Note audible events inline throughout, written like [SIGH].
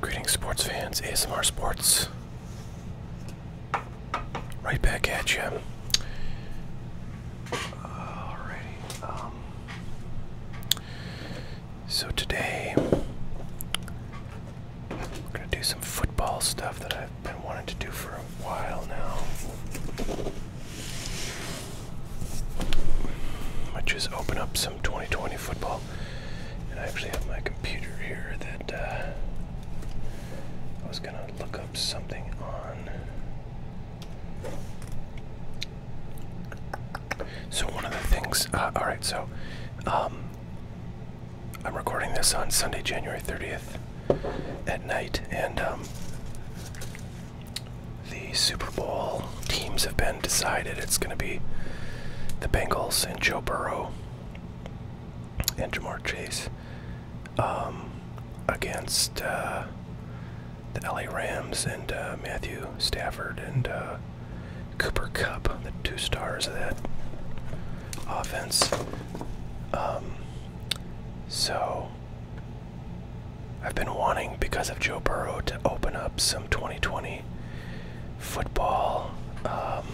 Greetings, sports fans. ASMR Sports. Right back at you. Alrighty. Um, so today, we're going to do some football stuff that I've been wanting to do for a while now. Which just open up some 2020 football. I actually have my computer here that uh, I was gonna look up something on. So one of the things. Uh, all right, so um, I'm recording this on Sunday, January 30th at night, and um, the Super Bowl Teams have been decided. It's going to be the Bengals and Joe Burrow and Jamar Chase um, against uh, the LA Rams and uh, Matthew Stafford and uh, Cooper Cup, the two stars of that offense. Um, so I've been wanting, because of Joe Burrow, to open up some 2020 football um,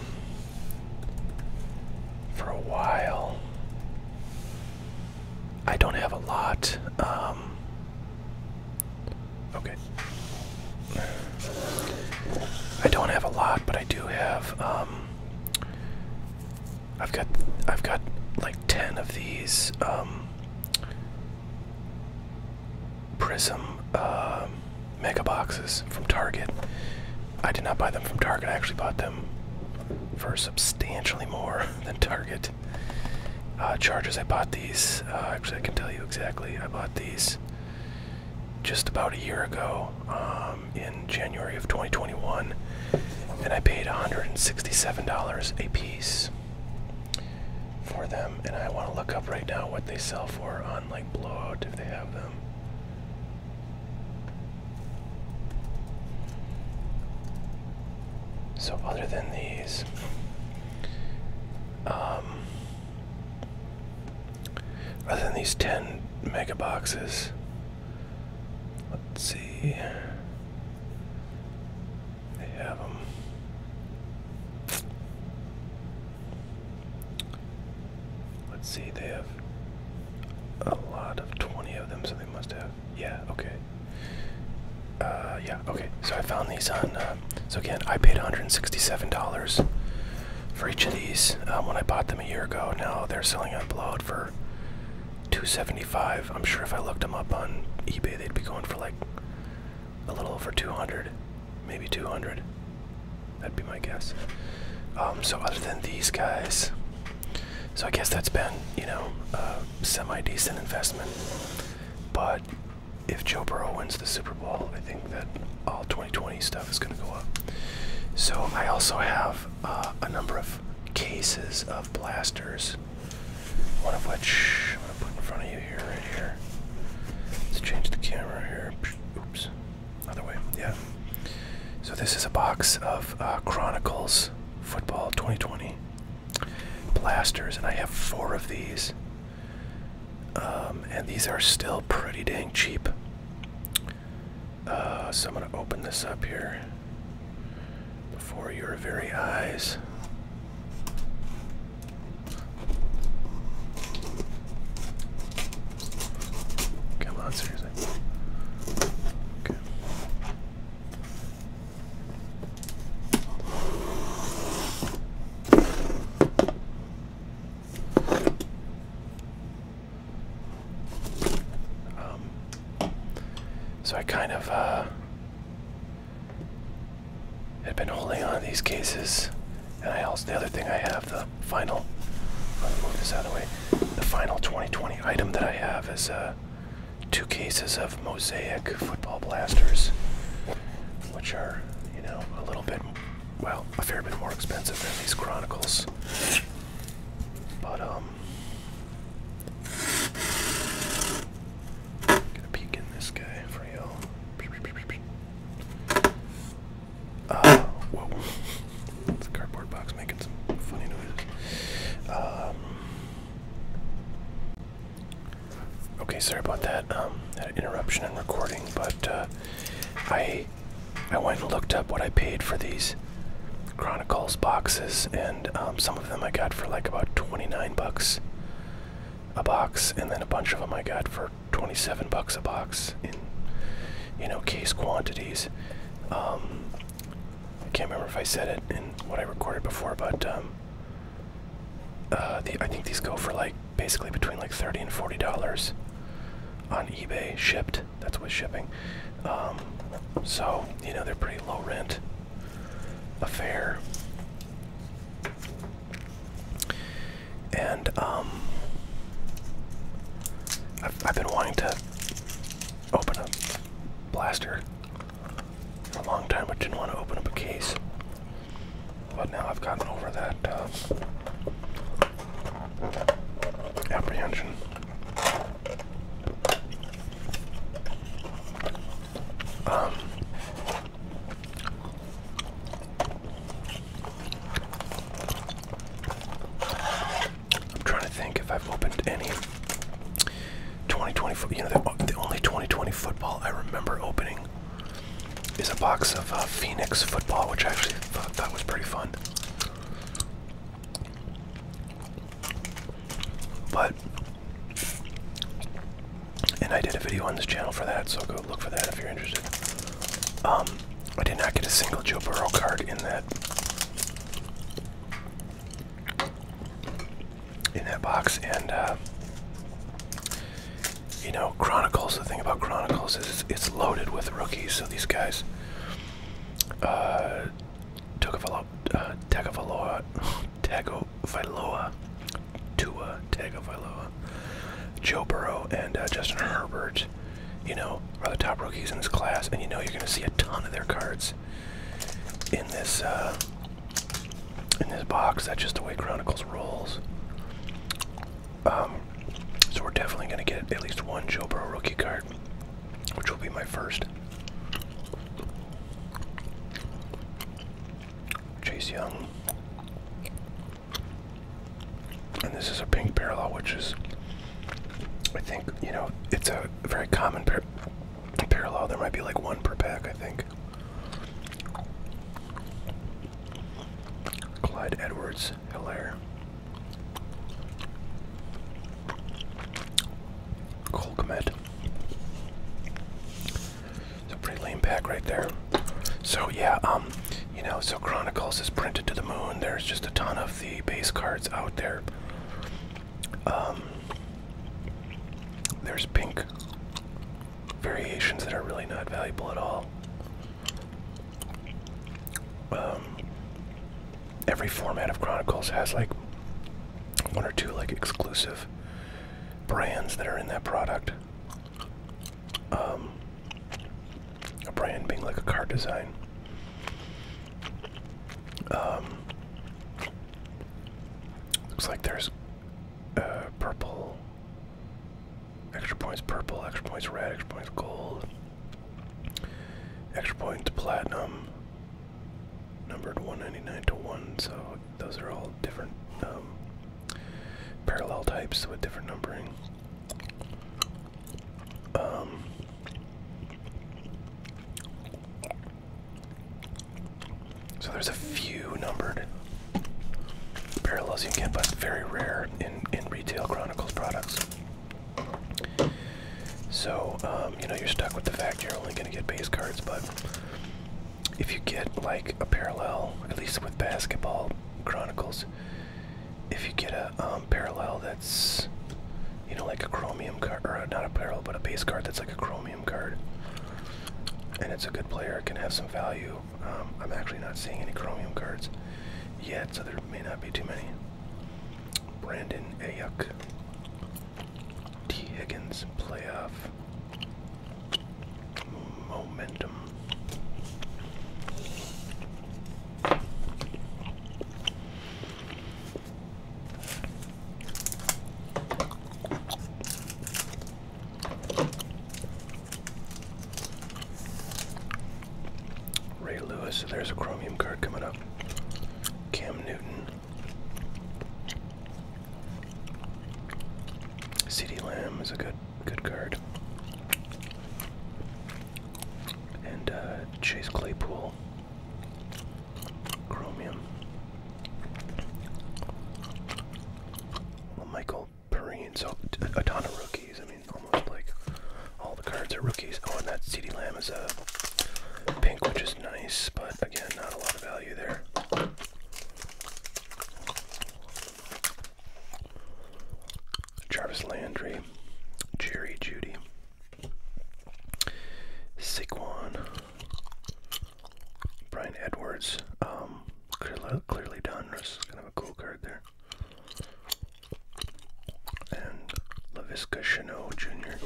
for a while. I don't have a lot. Um, okay. I don't have a lot, but I do have. Um, I've got. I've got like ten of these. Prism uh, mega boxes from Target. I did not buy them from Target. I actually bought them for substantially more [LAUGHS] than Target. Uh, charges, I bought these. Uh, actually, I can tell you exactly. I bought these just about a year ago um, in January of 2021, and I paid $167 a piece for them, and I want to look up right now what they sell for on like Blowout if they have them. So other than these, um, other than these ten mega boxes, let's see. They have them. Let's see, they have a lot of 20 of them, so they must have. Yeah, okay. Uh, yeah, okay. So I found these on. Uh, so again, I paid $167 for each of these uh, when I bought them a year ago. Now they're selling on Blowed for 275 I'm sure if I looked them up on eBay, they'd be going for like a little over 200 maybe 200. That'd be my guess. Um, so other than these guys, so I guess that's been you know a semi-decent investment. But if Joe Burrow wins the Super Bowl, I think that all 2020 stuff is going to go up. So I also have uh, a number of cases of blasters, one of which I'm going to put in front of you right here. Let's change the camera here. Oops. Other way. Yeah. So this is a box of uh, Chronicles Football 2020 blasters, and I have four of these. Um, and these are still pretty dang cheap. Uh, so I'm going to open this up here before your very eyes. Come on, seriously. Okay. Um, so I kind of, uh, had been holding on to these cases. And I also, the other thing I have, the final, let me move this out of the way. The final 2020 item that I have is uh, two cases of mosaic football blasters, which are, you know, a little bit, well, a fair bit more expensive than these Chronicles. But, um, gonna peek in this guy for you. Uh, whoa. It's [LAUGHS] a cardboard box making some funny noises. Um, okay, sorry about that. Um, had interruption in recording, but uh, I I went and looked up what I paid for these Chronicles boxes, and um, some of them I got for like about 29 bucks a box, and then a bunch of them I got for 27 bucks a box in you know case quantities um, I can't remember if I said it in what I recorded before but um, uh, the, I think these go for like basically between like 30 and 40 dollars on eBay shipped that's with shipping um, so you know they're pretty low rent affair and um, I've, been wanting to open a blaster for a long time, but didn't want to open up a case. But now I've gotten over that uh, apprehension. Um, I'm trying to think if I've opened any 2020 foot. You know, the, the only 2020 football I remember opening is a box of uh, Phoenix football, which I actually thought that was pretty fun. But, and I did a video on this channel for that, so go look for that if you're interested. Um, I did not get a single Joe Burrow card in that in that box, and uh, you know, Chronicles. The thing about Chronicles is it's, loaded with rookies, so these guys. Uh, uh, Tagovailoa, Tagovailoa, Tua, Tagovailoa, Joe Burrow, and uh, Justin Herbert, you know, are the top rookies in this class, and you know you're going to see a ton of their cards in this uh, in this box. That's just the way Chronicles rolls. Um, so we're definitely going to get at least one Joe Burrow rookie card, which will be my first. Chase Young, and this is a pink parallel, which is, I think, you know, it's a very common parallel. There might be like one per pack, I think. Clyde Edwards Hilaire. Colcomet. It's a pretty lame pack right there. So yeah, um, you know, so Chronicles is printed to the moon. There's just a ton of the base cards out there. Um, there's pink variations that are really not valuable at all. Um, every format of Chronicles has like one or two like exclusive brands that are in that product a brand being like a car design. Um, looks like there's uh, purple, extra points purple, extra points red, extra points gold, extra points platinum, numbered 199 to 1, so those are all different um, parallel types with different numbering. Um, so there's a few numbered parallels you can get, but very rare in in retail Chronicles products. So um, you know you're stuck with the fact you're only going to get base cards, but if you get like a parallel, at least with basketball Chronicles, if you get a um, parallel that's you know like a chromium card or not a parallel but a base card that's like a chromium card and it's a good player it can have some value um, i'm actually not seeing any chromium cards yet so there may not be too many brandon ayuk t higgins playoff momentum Ray Lewis, there's a chromium card coming up. Cam Newton. CD Lamb is a good good card. And uh, Chase Claypool, Chromium. Well, Michael Perrine, so a ton of rookies. I mean, almost like all the cards are rookies. Oh, and that CD Lamb is a pink, which is nice, but again, not a lot of value there. Jarvis Landry, Jerry Judy, Saquon, Brian Edwards. Um, clearly, done. This kind of a cool card there. And Laviska Chanel Jr.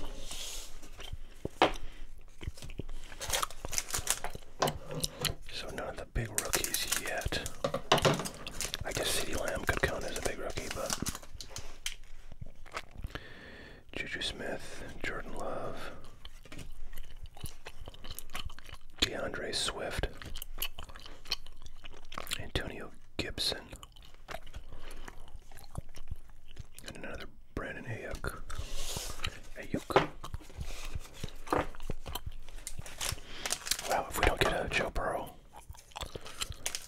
So none of big rookies yet. I guess City Lamb could count as a big rookie, but Juju Smith, Jordan Love, DeAndre Swift, Antonio Gibson, and another Brandon Ayuk. Ayuk. Wow, if we don't get a Joe Burrow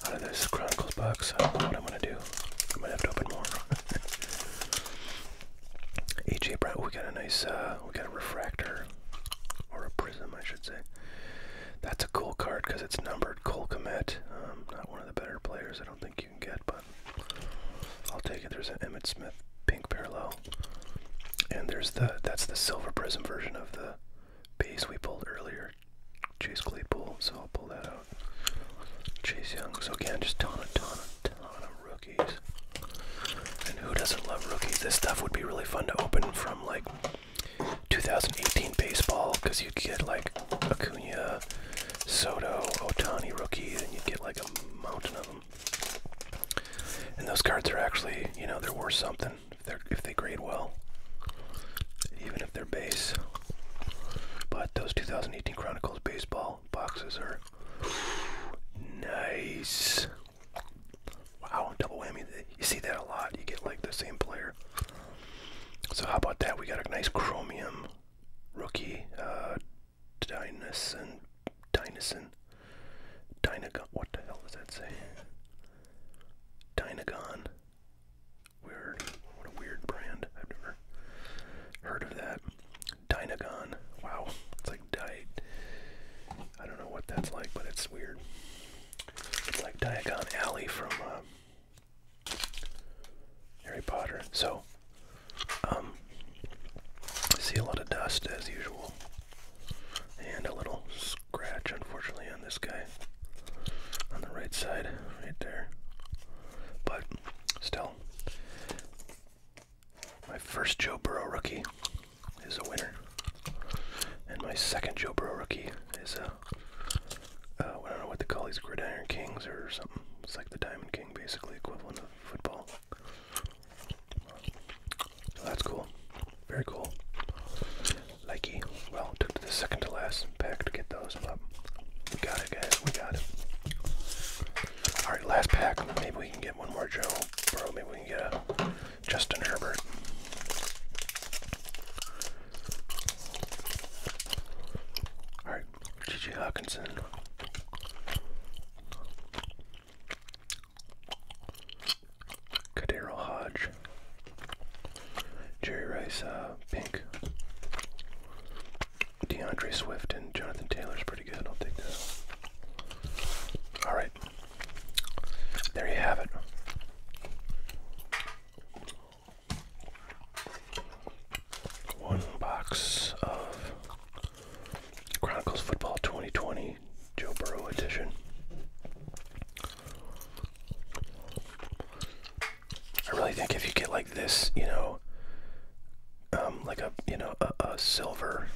out of this Chronicles box. I don't know what I'm gonna do. I might have to open more. AJ [LAUGHS] Brown. We got a nice. Uh, we got a refractor or a prism, I should say. That's a cool card because it's numbered. Cole Komet. Um, not one of the better players. I don't think you can get, but I'll take it. There's an Emmett Smith pink parallel, and there's the that's the silver prism version of the base we pulled earlier. Chase Claypool, so I'll pull that out. Chase Young, so again, just ton, a ton, a ton of rookies. And who doesn't love rookies? This stuff would be really fun to open from like 2018 baseball because you'd get like Acuna, Soto, Otani rookies, and you'd get like a mountain of them. And those cards are actually, you know, they're worth something. If they if they grade well, even if they're base. But those 2018 Chronicles baseball boxes are nice. Wow, double whammy. You see that a lot. You get like the same player. So how about that? We got a nice chromium rookie, uh, Dynason, Dynason, Dynagon. What the hell does that say? Dynagon. Weird. What a weird brand. I've never heard of that. Dynagon. Wow. It's like diet. I don't know what that's like, but it's weird. It's like Diagon Alley from uh, Harry Potter. So, um, I see a lot of dust as usual. And a little scratch, unfortunately, on this guy on the right side, right there. But still, my first Joe Burrow rookie is a winner, and my second Joe Burrow rookie is a uh, don't know what they call these gridiron kings or something. It's like the Diamond King, basically equivalent of football that's cool. Very cool. Likey. Well, took the second to last pack to get those, but we got it, guys. We got it. All right, last pack. Maybe we can get one more Joe Burrow. Maybe we can get a Justin Herbert. All right, T.J. Hawkinson. Cadero Hodge, Jerry Rice, uh, Pink, DeAndre Swift, and Jonathan Taylor's pretty good. I'll take that. All right, there you have it. One box of Chronicles Football 2020 Joe Burrow edition. I really think if you get like this, you know, um, like a you know a, a silver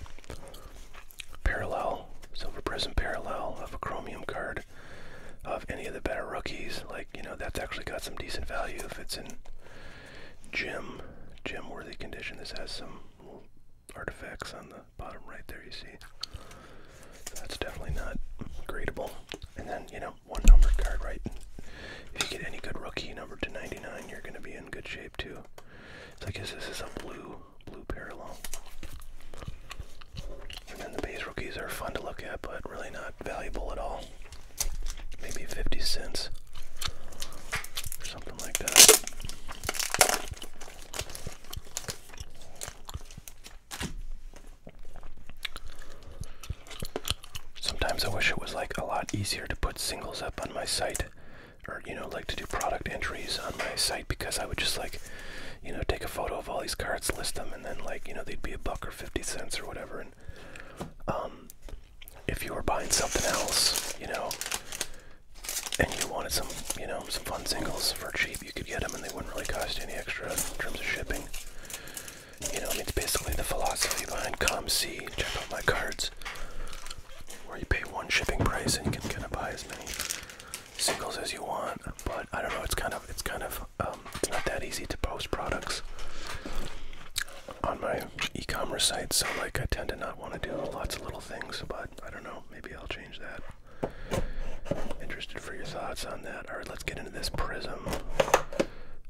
parallel, silver prism parallel of a chromium card of any of the better rookies, like you know that's actually got some decent value if it's in gem gem worthy condition. This has some artifacts on the bottom right there, you see. that's definitely not gradeable. And then, you know, one number card, right? If you get any good rookie number to 99, you're going to be in good shape, too. So I guess this is a blue, blue parallel. And then the base rookies are fun to look at, but really not valuable at all. Maybe 50 cents or something like that. Sometimes I wish it was like a lot easier to put singles up on my site or you know like to do product entries on my site because I would just like you know take a photo of all these cards list them and then like you know they'd be a buck or 50 cents or whatever and um if you were buying something else you know and you wanted some you know some fun singles for cheap cheap you could get them and they wouldn't really cost any extra in terms of shipping. You know, I mean, it's basically the philosophy behind ComC. Check out my cards. Where you pay one shipping price and you can kind of buy as many singles as you want. But I don't know, it's kind of, it's kind of, um, it's not that easy to post products on my e-commerce site. So like, I tend to not want to do lots of little things, but I don't know, maybe I'll change that. Interested for your thoughts on that. All right, let's get into this prism.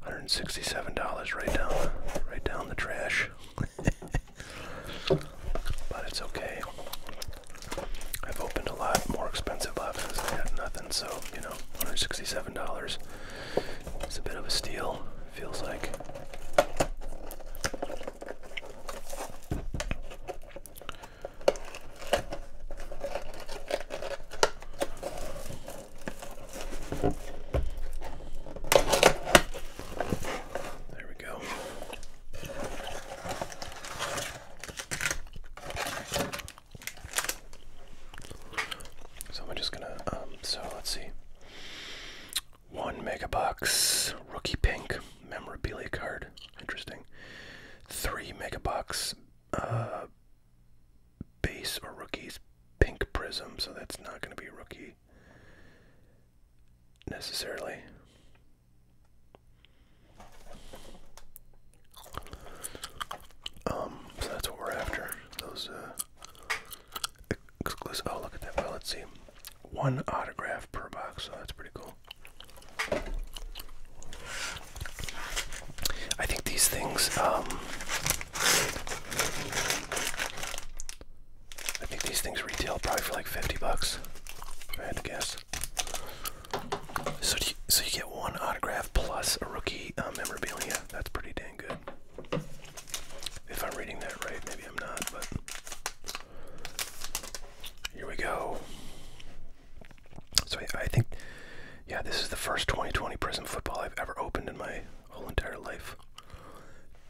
$167 right down, right down the trash. [LAUGHS] but it's okay. I've opened a lot more expensive boxes. I got nothing, so you know, $167. It's a bit of a steal. Feels like. There we go. So I'm just gonna, um, so let's see. One megabucks, rookie pink memorabilia card. Interesting. Three mega box uh, base or rookies pink prism, so that's not going to be a rookie necessarily. Um, so that's what we're after. Those uh, exclusive. Oh, look at that. Well, let's see. One autograph per box, so that's pretty cool. I think these things, um, I think these things retail probably for like 50 bucks, I had to guess. So, you, so you get one autograph plus a rookie um, memorabilia. That's pretty dang good. If I'm reading that right, maybe I'm not, but here we go. So I, think, yeah, this is the first 2020 prison football I've ever opened in my whole entire life.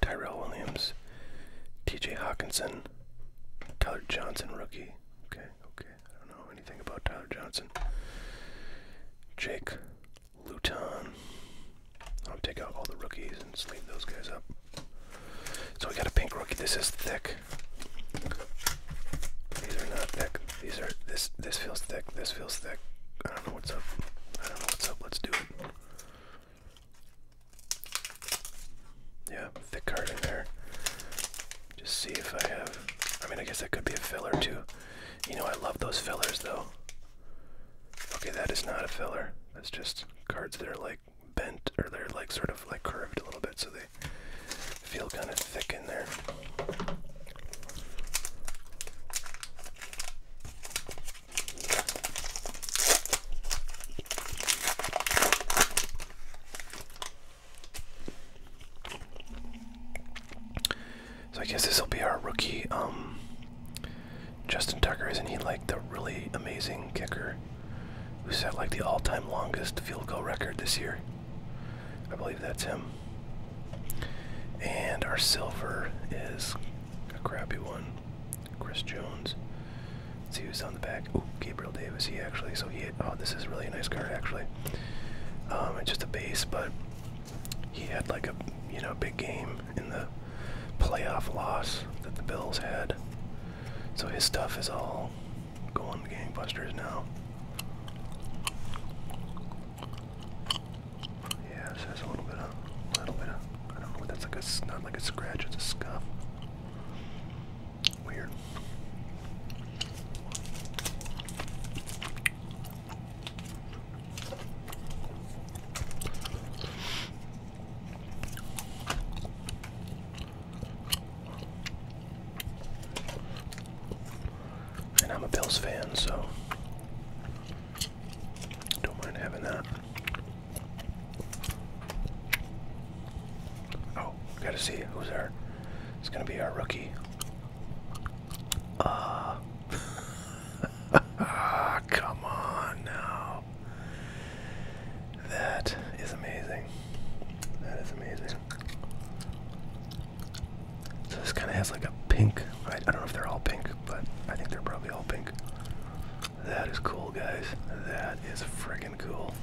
Tyrell Williams, T.J. Hawkinson, Tyler Johnson, rookie. Okay, okay. I don't know anything about Tyler Johnson. Jake Luton. I'll take out all the rookies and sleeve those guys up. So we got a pink rookie. This is thick. These are not thick. These are this this feels thick. This feels thick. I don't know what's up. I don't know what's up. Let's do it. Yeah, thick card in there. Just see if I have. I mean, I guess that could be a filler too. You know, I love those fillers though. Okay, that is not a filler. That's just cards that are like bent or they're like sort of like curved a little bit, so they feel kind of thick in there. So I guess this will be our rookie. Um, Justin Tucker, isn't he like the really amazing kicker who set like the all-time longest field goal record this year? I believe that's him. And our silver is a crappy one. Chris Jones. Let's see who's on the back. Oh, Gabriel Davis. He actually. So he. Oh, this is really a nice card actually. it's um, just a base, but he had like a you know big game in the playoff loss that the Bills had. So his stuff is all going gangbusters now. Yeah, so there's a little bit of, little bit of, I don't know, that's like a, not like a scratch, it's a scuff. Weird. And I'm a Bills fan, so don't mind having that. Oh, gotta see who's there. It's gonna be our rookie. Ah, uh, [LAUGHS] come on now. That is amazing. That is amazing. So this kind of has like a pink. I, I don't know if they're all pink, but I think they're probably all pink. That is cool, guys. That is friggin' cool.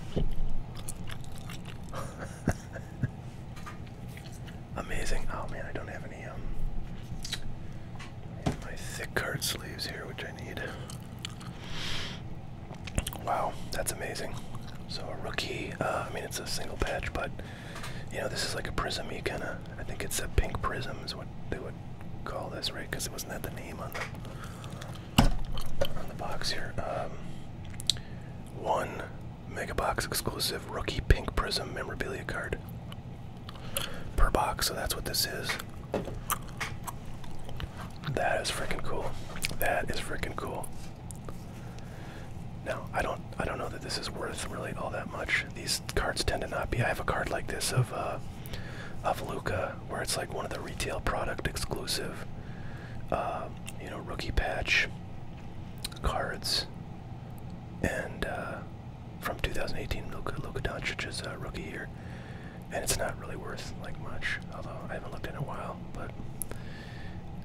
[LAUGHS] Amazing. Oh man, I don't have any um my thick card sleeves here, which I need. Wow, that's amazing. So a rookie, uh, I mean it's a single patch, but you know this is like a prism. You kind of, I think it's a pink prism is what they would call this, right? Because it wasn't that the name on the on the box here. Um, one mega box exclusive rookie pink prism memorabilia card per box. So that's what this is. That is freaking cool. That is freaking cool. Now I don't I don't know that this is worth really all that much. These cards tend to not be. I have a card like this of uh, of Luca where it's like one of the retail product exclusive, uh, you know, rookie patch cards, and uh, from 2018 Luca Luka Doncic's uh, rookie year, and it's not really worth like much. Although I haven't looked in a while, but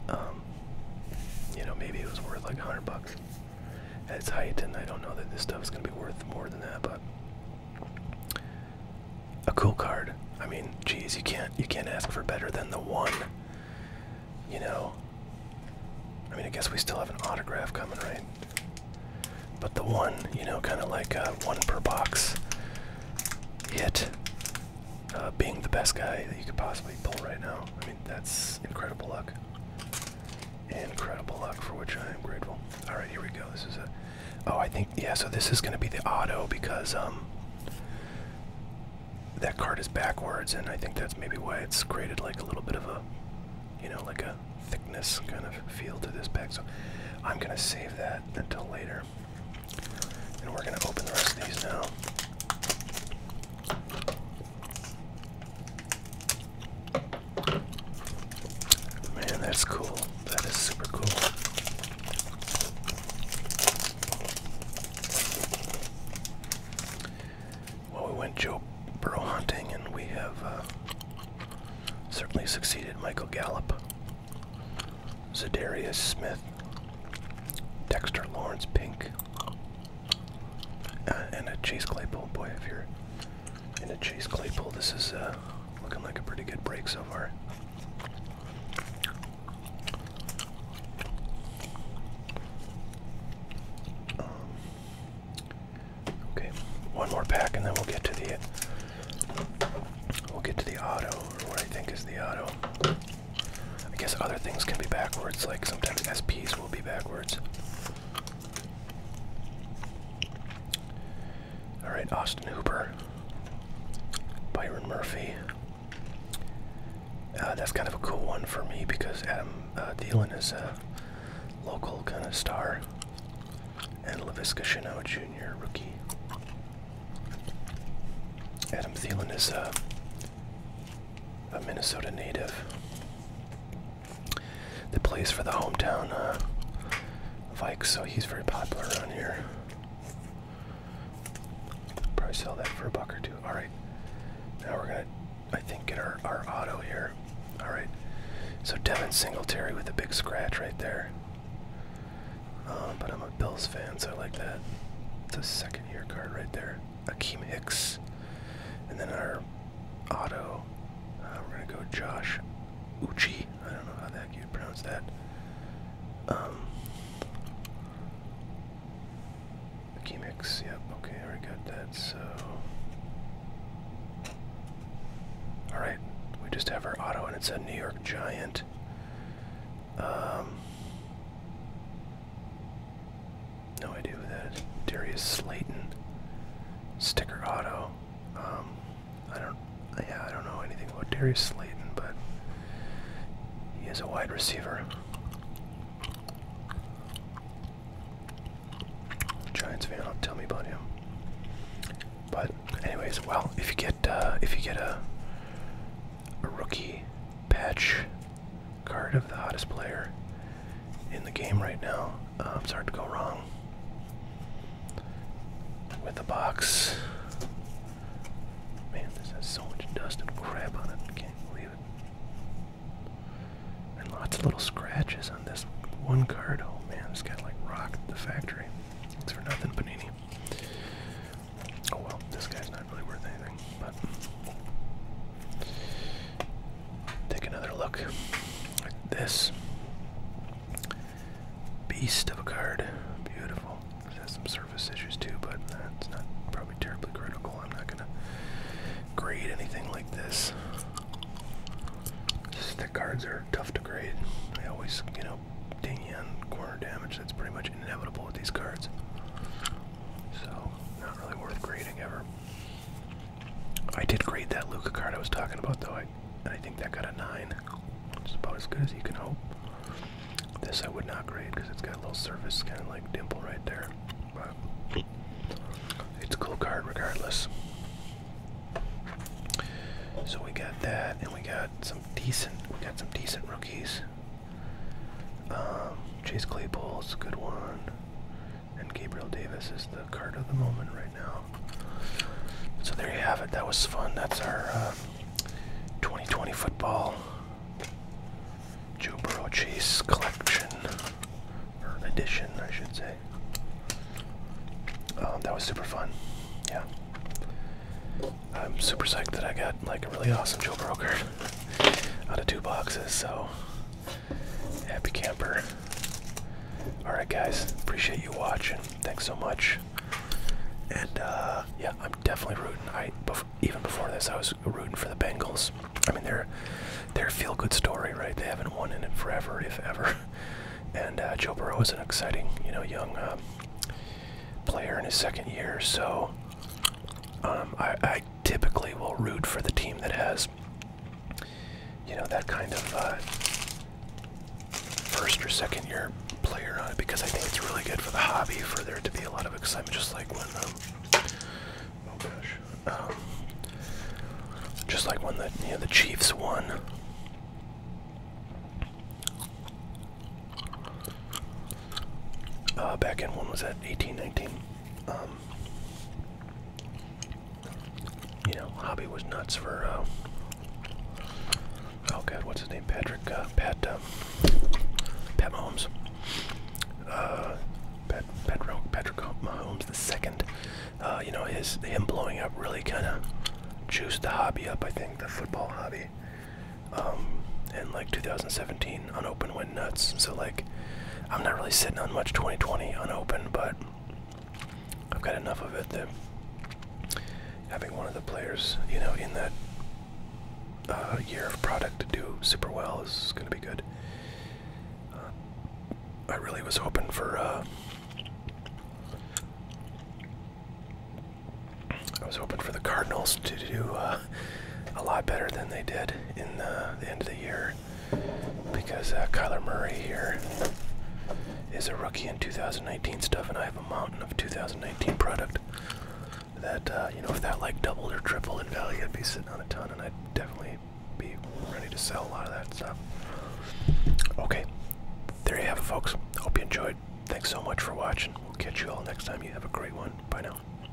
um, you know, maybe it was worth like a hundred bucks at its height, and I don't know that this stuff is gonna be worth more than that, but a cool card. I mean, geez, you can't you can't ask for better than the one. You know. I mean, I guess we still have an autograph coming, right? But the one, you know, kind of like uh, one per box hit uh, being the best guy that you could possibly pull right now. I mean, that's incredible luck. Incredible luck for which I am grateful. All right, here we go. This is a. Oh, I think yeah. So this is going to be the auto because um. That card is backwards, and I think that's maybe why it's graded like a little bit of a, you know, like a thickness kind of feel to this pack. So I'm gonna save that until later. And we're going to open the rest of these now. Man, that's cool. That is super cool. Well, we went Joe Burrow hunting, and we have uh, certainly succeeded Michael Gallup, Zadarius Smith, Dexter Lawrence Pink. Uh, and a Chase Claypool. Boy, if you're in a Chase Claypool, this is uh, looking like a pretty good break so far. Um, okay, one more pack, and then we'll get to the we'll get to the auto, or what I think is the auto. I guess other things can be backwards, like sometimes SPs will be backwards. Alright, Austin Hooper, Byron Murphy. Uh, that's kind of a cool one for me because Adam uh, Thielen is a local kind of star. And LaVisca Chanel Jr., rookie. Adam Thielen is a uh, a Minnesota native the place for the hometown uh, Vikes, so he's very popular around here. Probably sell that for a buck or two. All right, now we're gonna, I think, get our our auto here. All right, so Devin Singletary with a big scratch right there. Uh, but I'm a Bills fan, so I like that. It's a second year card right there. Akeem Hicks. And then our auto, uh, we're going to go Josh Uchi. I don't know how the heck you'd pronounce that. Um, yep, okay, I already got that, so... Alright, we just have our auto, and it's a New York Giant. Um, no idea who that is. Darius Slayton. Sticker auto. Um, I don't. Yeah, I don't know anything about Darius Slayton, but he is a wide receiver. Giants fan, don't tell me about him. But anyways, well, if you get uh, if you get a a rookie patch card of the hottest player in the game right now. Uh, it's hard to go wrong with the box. Man, this has so much dust and crap on it. I can't believe it. And lots of little scratches on this one card. Oh man, this of like rocked the factory. Thanks for nothing, Panini. Oh well, this guy's not really worth anything, but take another look at this beast of a card. Beautiful. It has some surface issues too, but that's not probably terribly critical. I'm not gonna grade anything like this. Just the cards are tough to grade. They always, you know, ding you corner damage. That's pretty much inevitable with these cards. So, not really worth grading ever. I did grade that Luca card I was talking about, though. I, and I think that got a 9. It's about as good as you can hope. This I would not grade because it's got a little surface, kind of like dimple right there. But it's a cool card regardless. So we got that, and we got some decent. We got some decent rookies. Um, Chase Claypool's good one. And Gabriel Davis is the card of the moment right now. So there you have it. That was fun. That's our 2020 uh, football Joe Burrow Chase collection. Or edition, I should say. Um, that was super fun. Yeah. I'm super psyched that I got like a really awesome Joe Burrow card out of two boxes, so happy camper. Alright, guys, appreciate you watching. Thanks so much. And uh, yeah, I'm definitely rooting. I even before this, I was rooting for the Bengals. I mean, they're they're feel-good story, right? They haven't won in forever, if ever. [LAUGHS] And uh, Joe Burrow is an exciting, you know, young um, player in his second year. So um, I, I typically will root for the team that has, you know, that kind of uh, first or second year player on it because I think it's really good for the hobby for there to be a lot of excitement, just like when, um, oh gosh, um, just like when the you know the Chiefs won. Uh, back in when was that? eighteen, nineteen? um, you know, hobby was nuts for. Uh, oh God, what's his name? Patrick, uh, Pat, uh, Pat Mahomes, uh, Pat, Patrick, Patrick Mahomes the second. Uh, you know, his him blowing up really kind of juiced the hobby up. I think the football hobby. Um, and like 2017 unopened went nuts. So like, I'm not really sitting on much 2020 unopened, but I've got enough of it that having one of the players, you know, in that uh, year of product to do super well is going to be good. Uh, I really was hoping for. Uh, I was hoping for the Cardinals to do uh, a lot better than they did in uh, the, end of the year because uh, Kyler Murray here is a rookie in 2019 stuff, and I have a mountain of 2019 product that, uh, you know, if that like doubled or tripled in value, I'd be sitting on a ton, and I'd definitely be ready to sell a lot of that stuff. Okay, there you have it, folks. Hope you enjoyed. Thanks so much for watching. We'll catch you all next time. You have a great one. Bye now.